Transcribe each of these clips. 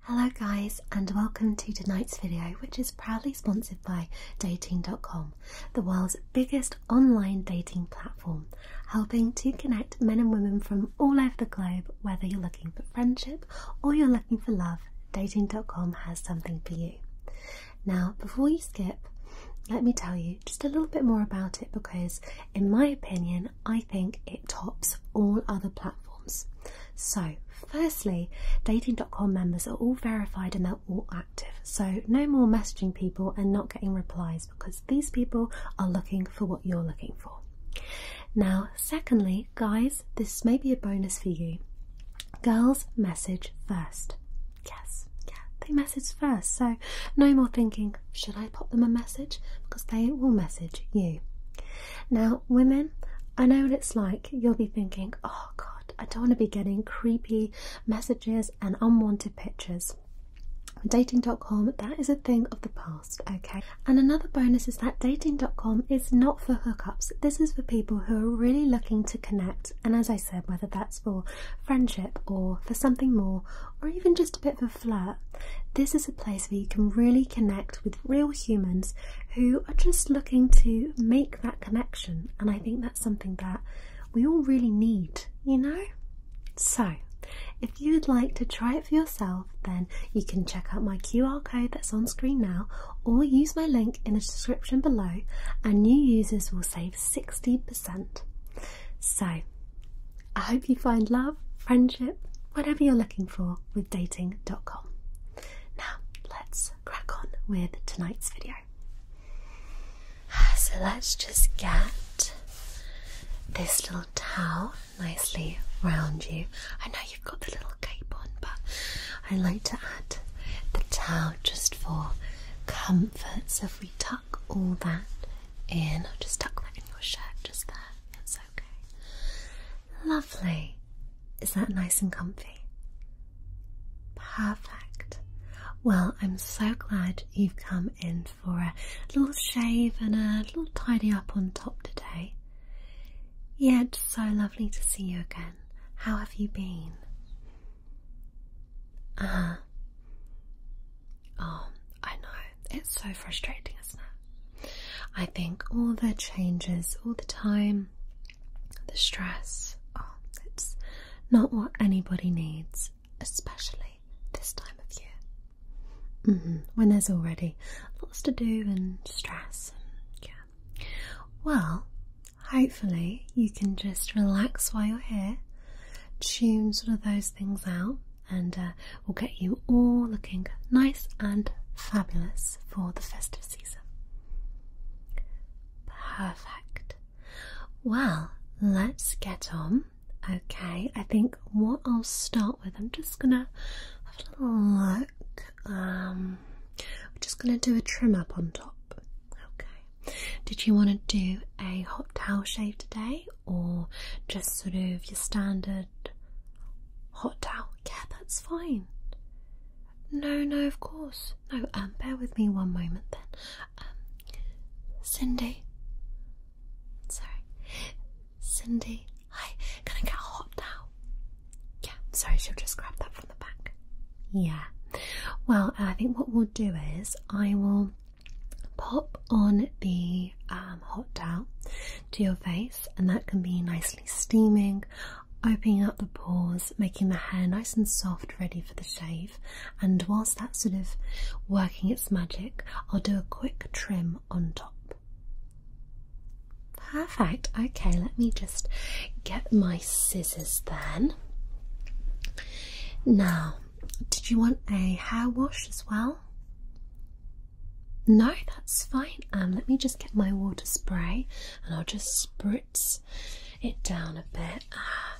Hello guys and welcome to tonight's video which is proudly sponsored by dating.com, the world's biggest online dating platform, helping to connect men and women from all over the globe whether you're looking for friendship or you're looking for love, dating.com has something for you. Now before you skip, let me tell you just a little bit more about it because in my opinion I think it tops all other platforms. So, firstly, dating.com members are all verified and they're all active. So, no more messaging people and not getting replies because these people are looking for what you're looking for. Now, secondly, guys, this may be a bonus for you. Girls message first. Yes, yeah, they message first. So, no more thinking, should I pop them a message? Because they will message you. Now, women, I know what it's like. You'll be thinking, oh God, I don't want to be getting creepy messages and unwanted pictures. Dating.com, that is a thing of the past, okay? And another bonus is that dating.com is not for hookups. This is for people who are really looking to connect. And as I said, whether that's for friendship or for something more, or even just a bit of a flirt, this is a place where you can really connect with real humans who are just looking to make that connection, and I think that's something that we all really need, you know? So, if you would like to try it for yourself, then you can check out my QR code that's on screen now or use my link in the description below, and new users will save 60%. So, I hope you find love, friendship, whatever you're looking for with dating.com. Now, let's crack on with tonight's video. So, let's just get this little towel nicely round you. I know you've got the little cape on, but I like to add the towel just for comfort. So, if we tuck all that in, I'll just tuck that in your shirt just there. It's okay. Lovely. Is that nice and comfy? Perfect. Well, I'm so glad you've come in for a little shave and a little tidy up on top today. Yeah, it's so lovely to see you again. How have you been? Uh Oh, I know it's so frustrating, isn't it? I think all the changes, all the time, the stress, oh, it's not what anybody needs, especially this time of year. Mm-hmm. when there's already lots to do and stress, yeah. Well, hopefully you can just relax while you're here, tune sort of those things out, and uh, we will get you all looking nice and fabulous for the festive season. Perfect. Well, let's get on. Okay, I think what I'll start with, I'm just gonna have a little look. Um, I'm just gonna do a trim up on top. Okay. Did you want to do a hot towel shave today, or just sort of your standard hot towel, yeah, that's fine. No, no, of course. No, um, bear with me one moment then. Um, Cindy. Sorry. Cindy. Hi, can I get a hot towel? Yeah, sorry, she'll just grab that from the back. Yeah. Well, I think what we'll do is I will pop on the um, hot towel to your face, and that can be nicely steaming, opening up the pores, making the hair nice and soft, ready for the shave. And whilst that's sort of working its magic, I'll do a quick trim on top. Perfect. Okay, let me just get my scissors then. Now, did you want a hair wash as well? No, that's fine. Um, let me just get my water spray and I'll just spritz it down a bit. Ah,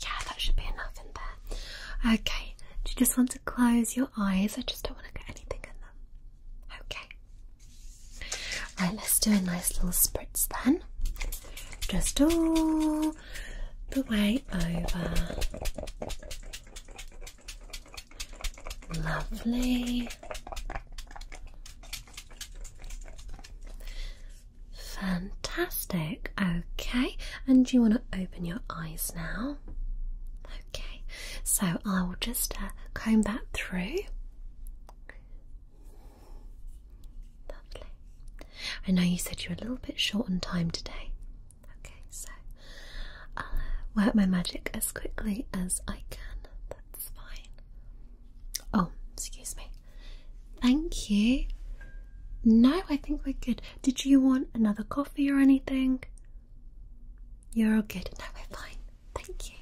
yeah, that should be enough in there. Okay, do you just want to close your eyes? I just don't want to get anything in them. Okay. Right, let's do a nice little spritz then. Just all the way over. Lovely. Fantastic. Okay, and you want to open your eyes now? Okay, so I will just uh, comb that through. Lovely. I know you said you were a little bit short on time today. Okay, so I'll uh, work my magic as quickly as I can. That's fine. Oh, excuse me. Thank you. No, I think we're good. Did you want another coffee or anything? You're all good. No, we're fine. Thank you.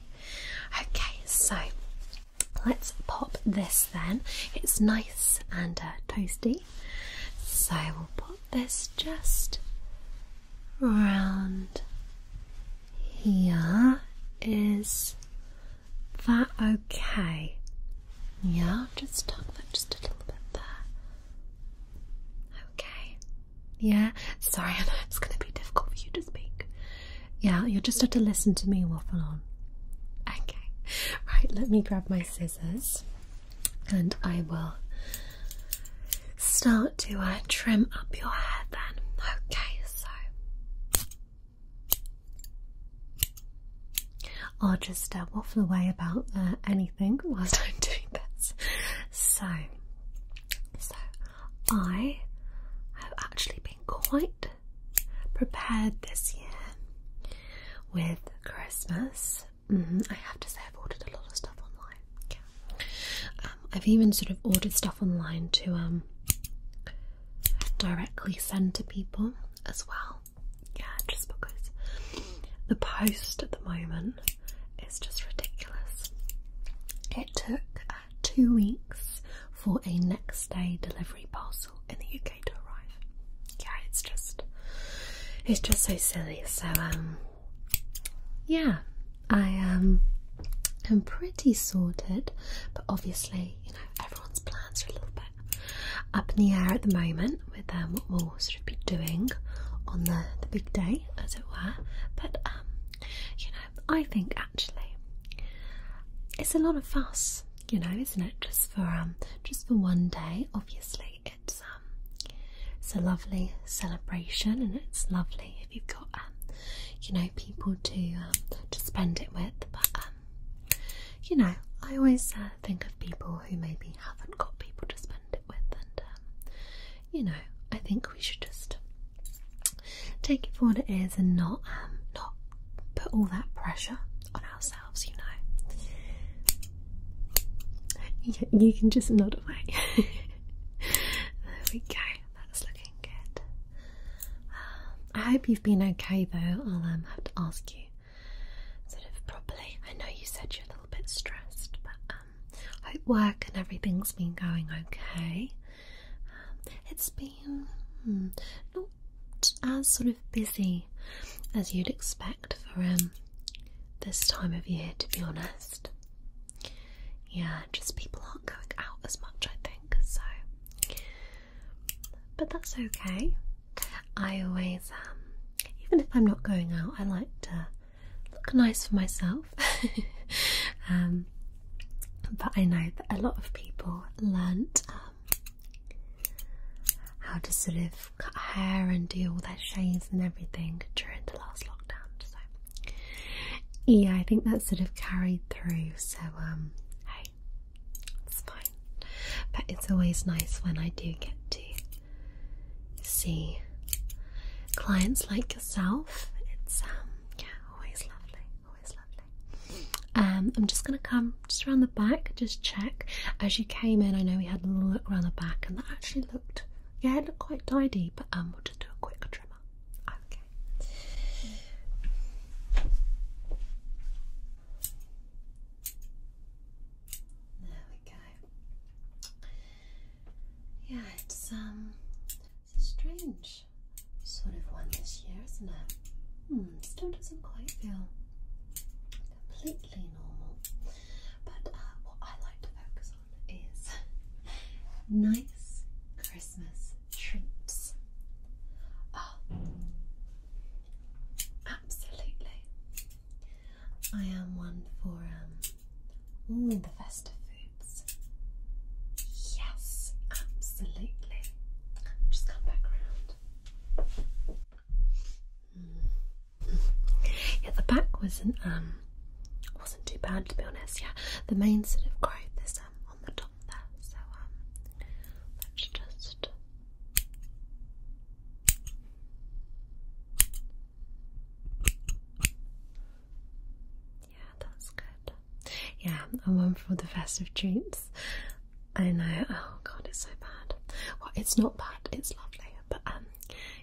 Okay, so let's pop this then. It's nice and uh, toasty. So I will put this just round here. Is that okay? Yeah, just tuck that just a little bit there. Okay. Yeah. Sorry, I know it's going to be difficult for you to speak. Yeah, you'll just have to listen to me waffle on. Okay. Right, let me grab my scissors and I will start to uh, trim up your hair then. Okay, so I'll just uh, waffle away about uh, anything whilst I'm doing this. So, so I have actually been quite prepared this year with Christmas Mm-hmm. I have to say, I've ordered a lot of stuff online. Yeah. Um, I've even sort of ordered stuff online to um, directly send to people as well. Yeah, just because the post at the moment is just ridiculous. It took uh, two weeks for a next day delivery parcel in the UK to arrive yeah, it's just it's just so silly. So um yeah, I um am pretty sorted, but obviously, you know, everyone's plans are a little bit up in the air at the moment with um what we'll sort of be doing on the, the big day as it were. But um, you know, I think actually it's a lot of fuss, you know, isn't it? Just for um just for one day, obviously. Um, it's a lovely celebration, and it's lovely if you've got um, you know, people to um, to spend it with. But you know, I always uh, think of people who maybe haven't got people to spend it with, and you know, I think we should just take it for what it is and not not put all that pressure on ourselves you know. you can just nod away. there we go. That's looking good. I hope you've been okay, though. I'll um, have to ask you sort of properly. I know you said you're a little bit stressed, but um, hope work and everything's been going okay. Um, it's been hmm, not as sort of busy as you'd expect for um this time of year, to be honest. Yeah, just people aren't going out as much, I think, so. But that's okay. I always, um, even if I'm not going out, I like to look nice for myself. Um, but I know that a lot of people learnt um, how to sort of cut hair and do all their shaves and everything during the last lockdown. So yeah, I think that sort of carried through. So um, hey, it's fine. But it's always nice when I do get to see clients like yourself. It's um, yeah, always lovely, always lovely. Um, I'm just gonna come just around the back, just check. As you came in, I know we had a look around the back, and that actually looked, yeah, it looked quite tidy. But um, we'll just do a quick trimmer. Okay. There we go. Yeah, it's um, it's a strange sort of one this year, isn't it? Hmm, still doesn't quite feel completely normal. But uh, what I like to focus on is nice Christmas treats. Oh, absolutely. I am one for um, all the festive foods. Yes, absolutely. Just come back around. Yeah, the back wasn't um wasn't too bad to be honest. Yeah, the main sort of growth is um on the top there. So um, let's just. Yeah, that's good. Yeah, I'm one for the festive treats. I know. Oh God, it's so bad. Well, it's not bad. It's lovely, but um,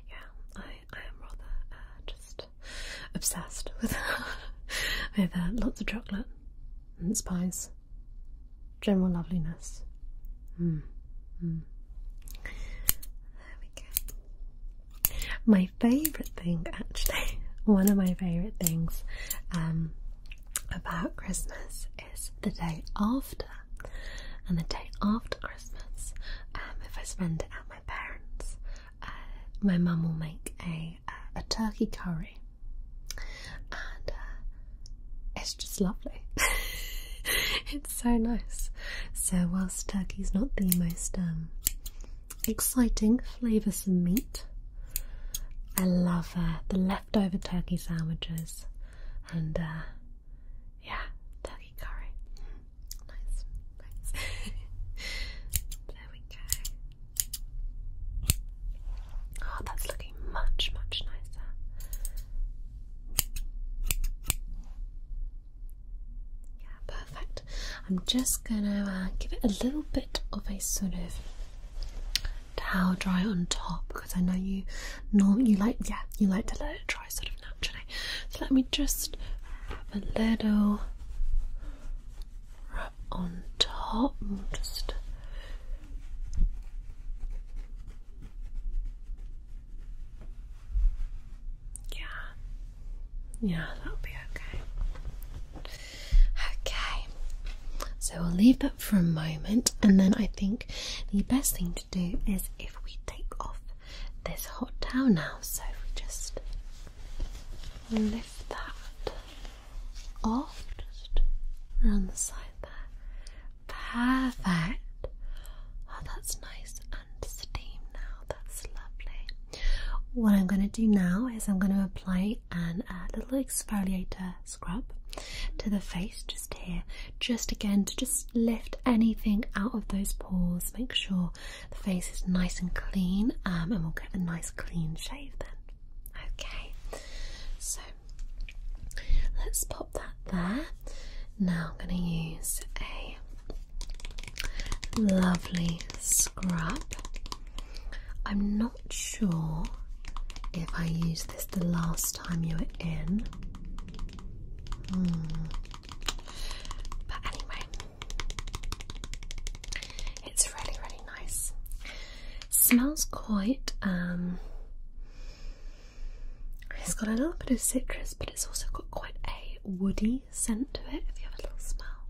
yeah, I I am rather uh, just obsessed with with uh, lots of chocolate and spice, general loveliness. Mm. Mm. There we go. My favourite thing, actually, one of my favourite things um, about Christmas is the day after and the day after Christmas, um, if I spend it at my parents, uh, my mum will make a uh, a turkey curry, and uh, it's just lovely. it's so nice. So whilst turkey's not the most um, exciting, of meat, I love the leftover turkey sandwiches and uh, yeah, turkey curry. nice, nice. there we go. Oh, that's looking much, much nicer. Yeah, perfect. I'm just gonna uh, give it a little bit of a sort of towel dry on top because I know you norm you like yeah you like to let it dry sort of naturally. So let me just have a little wrap on top. just yeah, yeah, that'll be okay. Okay, so we'll leave that for a moment, and then I think the best thing to do is if we take off this hot towel now. So if we just lift that off, just around the side there. Perfect. Oh, that's nice and steam now. That's lovely. What I'm going to do now is I'm going to apply an, a uh, little exfoliator scrub to the face just here just again to just lift anything out of those pores make sure the face is nice and clean um, and we'll get a nice clean shave then okay so let's pop that there now I'm going to use a lovely scrub I'm not sure if I use this the last time you were in. Hmm. But anyway, it's really, really nice. Smells quite. Um, it's got a little bit of citrus, but it's also got quite a woody scent to it. If you have a little smell,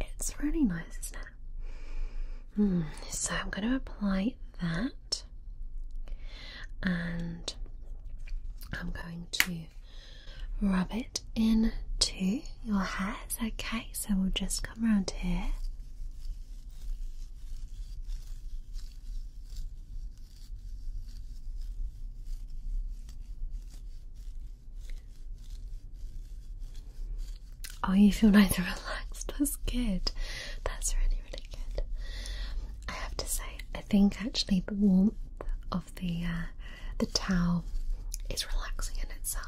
it's really nice, isn't it? Hmm, so I'm going to apply that and I'm going to rub it into your hairs. Okay, so we'll just come around here. Oh, you feel nice and relaxed. That's good. That's really, really good. I have to say, I think actually the warmth of the uh, the towel is relaxing in itself.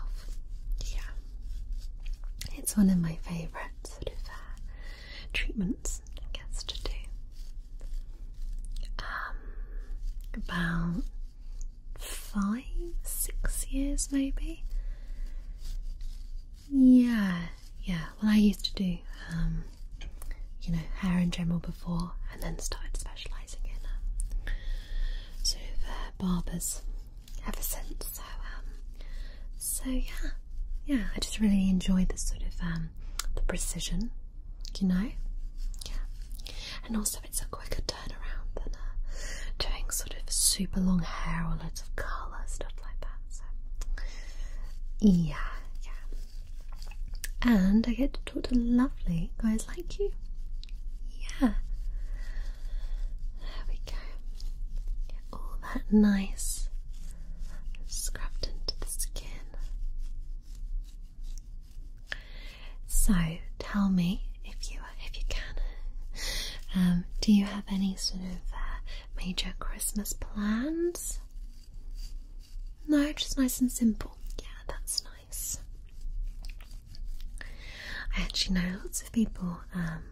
Yeah, it's one of my favourite sort of uh, treatments I guess to do. Um, about five, six years maybe. Yeah, yeah. Well, I used to do, um, you know, hair and general before, and then started specialising in um, sort of uh, barbers ever since. So, um, so yeah, yeah. I just really enjoy the sort of um, the precision, you know. and also it's a quicker turnaround than uh, doing sort of super long hair or loads of colour, stuff like that. So, yeah, yeah. And I get to talk to lovely guys like you. Yeah. There we go. Get all that nice scrubbed into the skin. So, tell me if you if you can. Um, do you have any sort of uh, major Christmas plans? No, just nice and simple. Yeah, that's nice. I actually know lots of people um,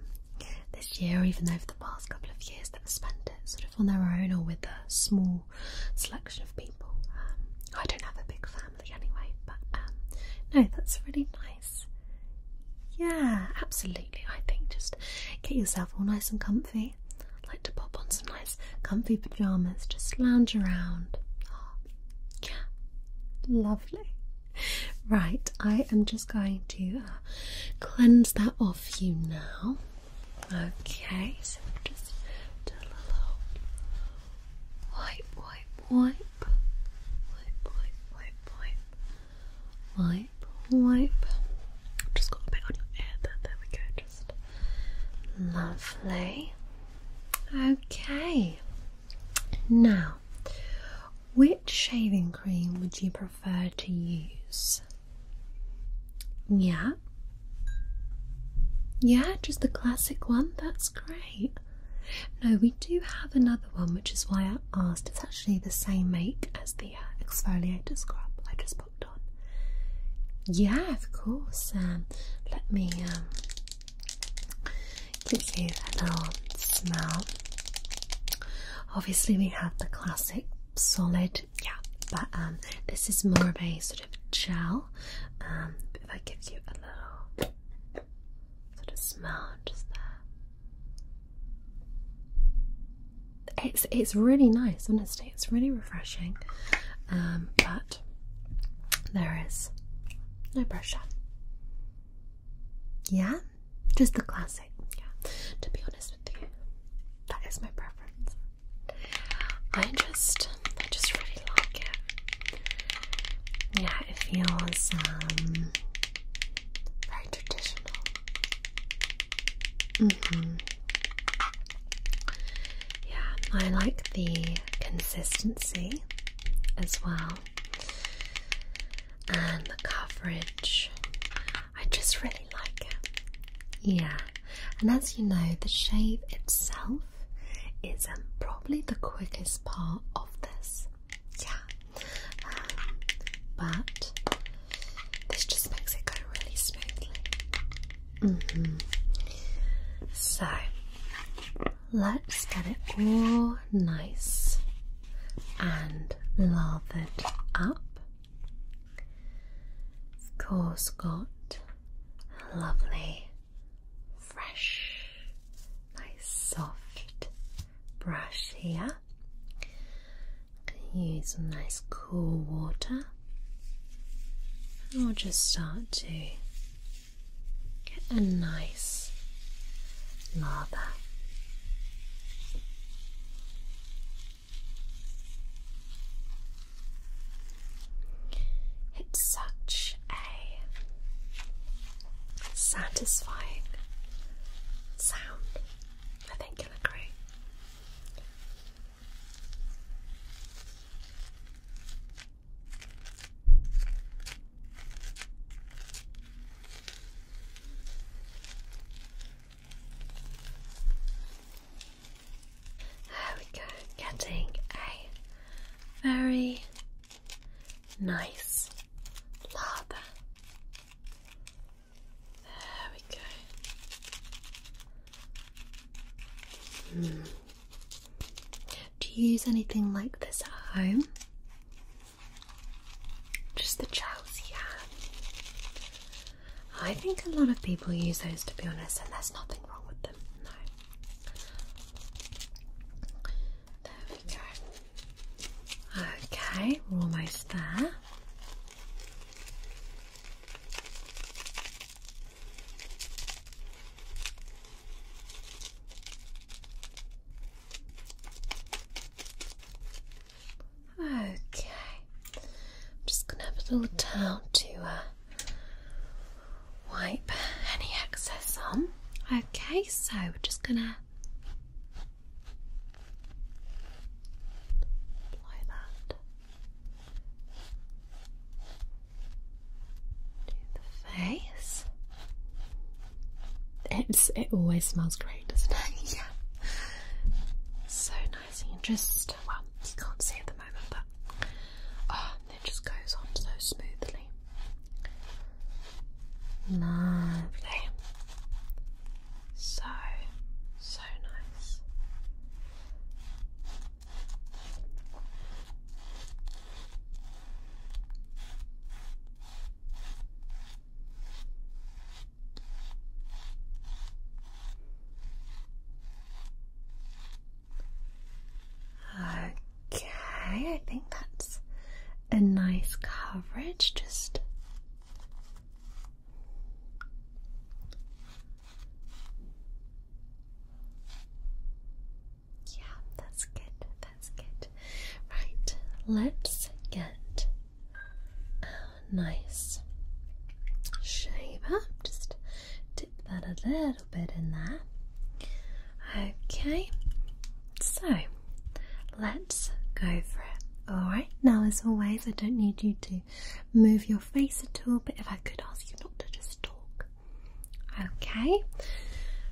this year, or even over the past couple of years, that have spent it sort of on their own or with a small selection of people. Um, I don't have a big family anyway, but no, that's really nice. Yeah, absolutely. I think just get yourself all nice and comfy. like to pop on some nice comfy pajamas, just lounge around. yeah, lovely. Right, I am just going to uh, cleanse that off you now. Okay, so just a little wipe, wipe, wipe wipe, wipe, wipe, wipe, wipe, wipe. Just got a bit on your ear there. There we go. Just lovely. Okay. Now, which shaving cream would you prefer to use? Yeah. Yeah, just the classic one. That's great. No, we do have another one, which is why I asked. It's actually the same make as the uh, exfoliator scrub I just popped on. Yeah, of course. Um, let me um, give you a little smell. Obviously, we have the classic solid, yeah, but um, this is more of a sort of gel. if I give you a little sort of smell just there. It's it's really nice, honestly. It's really refreshing, um, but there is no pressure. Yeah, just the classic. Yeah, to be honest with you, that is my preference. I just, I just really like it. Yeah, it feels um, very traditional. Mm-hmm. Yeah, I like the consistency as well, and the coverage. I just really like it. Yeah, and as you know, the shave itself is probably the quickest part of this yeah. Um, but this just makes it go really smoothly. Mm-hmm. So let's get it all nice and lathered up. Of course, got lovely fresh, nice soft brush here. use some nice cool water, and we'll just start to get a nice lather. It's such a satisfying sound. I think you'll agree. There we go, getting a very nice lava. There we go. Hmm. Do you use anything like this at home? Just the gels, I think a lot of people use those to be honest, and there's nothing wrong with them, no. There we go. Okay, we're almost there. Okay, I'm just gonna have a little towel to uh, wipe any excess on. Okay, so we're just gonna apply that to the face. It's it always smells great, doesn't it? yeah. So nice and just well, you can't see at the moment, but oh, it just goes on so smoothly. Lovely. So, so nice. Okay, I think that's a nice coverage. Just yeah, that's good. That's good. Right, let's get a nice shaver. Just dip that a little little bit in there. Okay, so let's go for it. Alright, now as always, I don't need you to move your face at all, but if I could ask you not to just talk. Okay,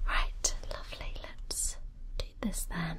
right, lovely. Let's do this then.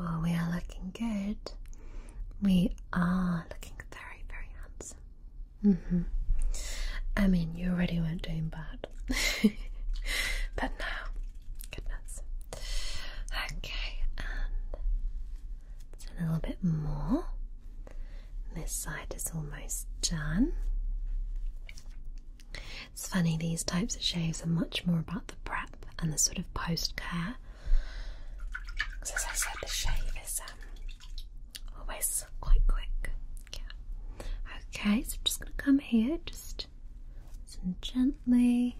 Oh, we are looking good. We are looking very, very handsome. Mm-hmm. I mean, you already weren't doing bad. but now, goodness. Okay, it's a little bit more. This side is almost done. It's funny, these types of shaves are much more about the prep and the sort of post care. Because, as I said, the shave is um, always quite quick. Yeah. Okay, so I'm just going to come here, just gently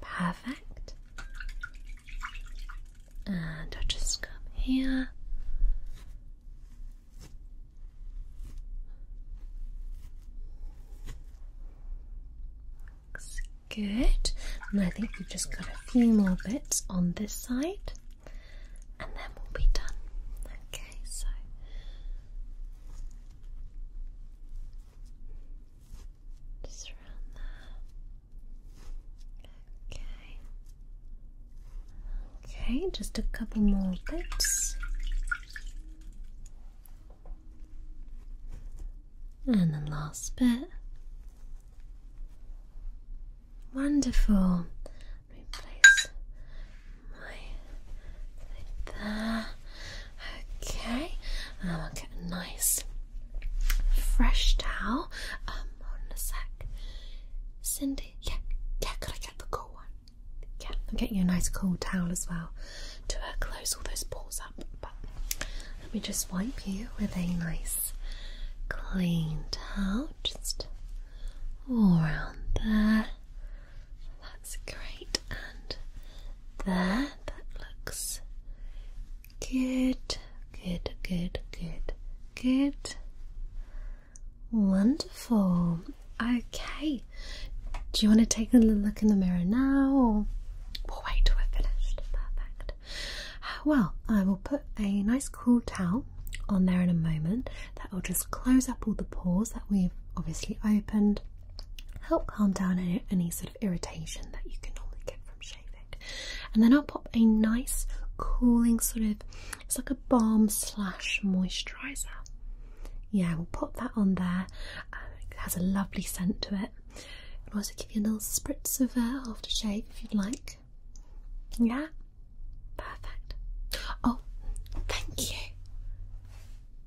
Perfect. And I'll just come here. good. And I think we've just got a few more bits on this side and then we'll be done. Okay, so just around there. Okay. Okay, just a couple more bits. And the last bit. Wonderful. Replace like Okay. And will get a nice fresh towel. Um, hold on a sec. Cindy, yeah, yeah, could I get the cool one? Yeah, I'm getting you a nice cool towel as well to uh, close all those pores up. But let me just wipe you with a nice clean towel, just all around there. That's great. And there, that looks good, good, good, good, good. Wonderful. Okay. Do you want to take a look in the mirror now or we'll wait till we're finished? Perfect. Well, I will put a nice cool towel on there in a moment that will just close up all the pores that we've obviously opened, help calm down any, sort of irritation that you can normally get from shaving. And then I'll pop a nice cooling sort of, it's like a balm slash moisturiser. Yeah, we'll pop that on there. Um, it has a lovely scent to it. i also give you a little spritz of aftershave if you'd like. Yeah, perfect. Oh, thank you.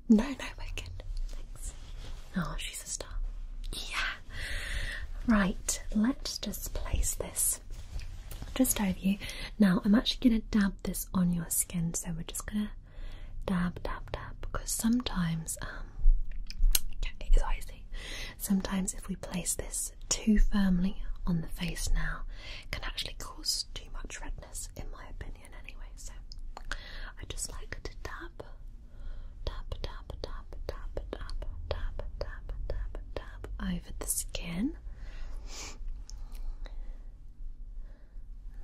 No, no, we're good. Thanks. Oh, she's a star. Yeah. Right, let's just place this just over you. Now, I'm actually going to dab this on your skin, so we're just going to dab, dab, dab, because sometimes, um, Sometimes if we place this too firmly on the face now, can actually cause too much redness, in my opinion anyway, so I just like to tap, tap, tap, tap, tap, tap, tap, tap, tap, tap over the skin.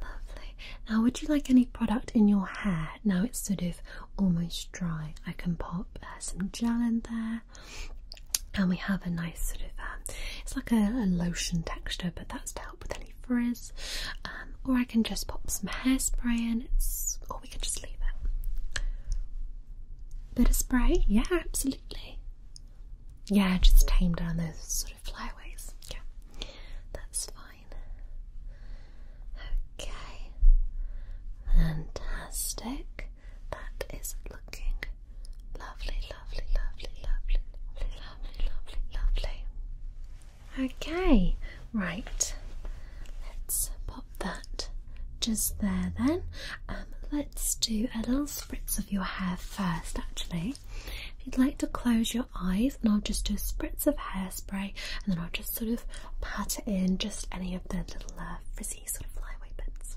Lovely. Now, would you like any product in your hair? Now it's sort of almost dry. I can pop uh, some gel in there, and we have a nice sort of. Uh, it's like a, lotion texture, but that's to help with any frizz. Um, or I can just pop some hairspray in, it's, or we can just leave it. Bit of spray? Yeah, absolutely. Yeah, just tame down those sort of flyaways. that's fine. Okay, fantastic. That is looking Lovely, lovely, lovely, lovely, lovely, lovely, lovely, lovely. Okay, right. Let's pop that just there then. Um, let's do a little spritz of your hair first, actually. If you'd like to close your eyes, and I'll just do a spritz of hairspray, and then I'll just sort of pat it in just any of the little uh, frizzy sort of flyaway bits.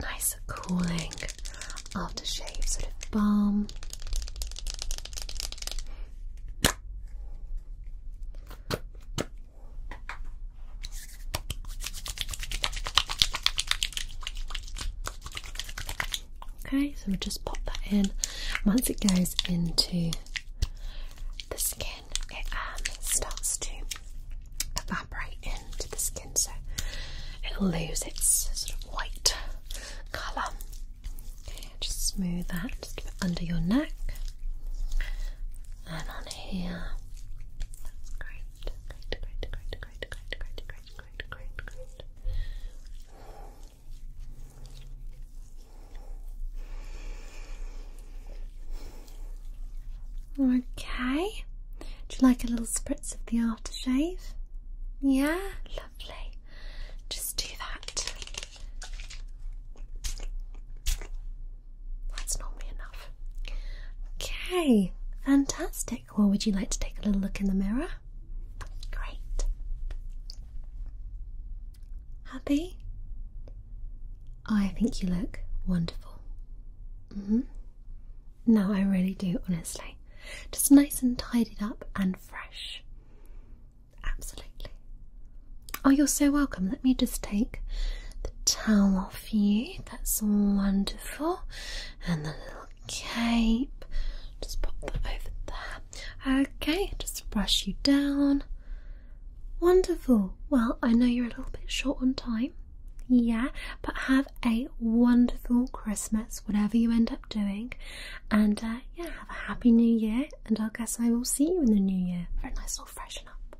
nice cooling aftershave sort of balm. Okay, so we'll just pop that in. Once it goes into the skin, it starts to evaporate into the skin, so it'll lose its sort of white colour. Okay, just smooth that under your neck and on here. great, great, great, great, great, great, great, great, great, great, great. Okay. Do you like a little spritz of the aftershave? Yeah, lovely. Just do that. That's normally enough. Okay, fantastic. Well, would you like to take a little look in the mirror? Great. Happy? I think you look wonderful. Mm-hmm. No, I really do, honestly. Just nice and tidied up and fresh. Absolutely. Oh, you're so welcome. Let me just take the towel off you. That's wonderful. And the little cape. Just pop that over there. Okay, just brush you down. Wonderful. Well, I know you're a little bit short on time. Yeah, but have a wonderful Christmas, whatever you end up doing. And uh, yeah, have a happy new year. And I guess I will see you in the new year for a nice little freshen up.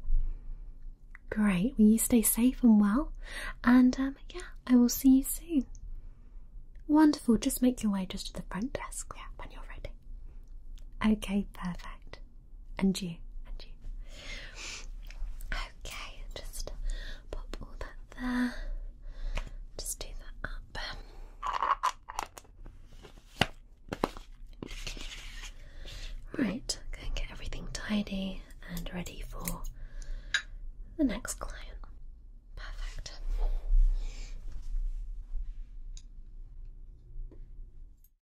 Great. Well, you stay safe and well. And um, yeah, I will see you soon. Wonderful. Just make your way just to the front desk yeah, when you're ready. Okay, perfect. And you, and you. Okay, just pop all that there. Just do that up. Right, go and get everything tidy and ready for the next client. Perfect.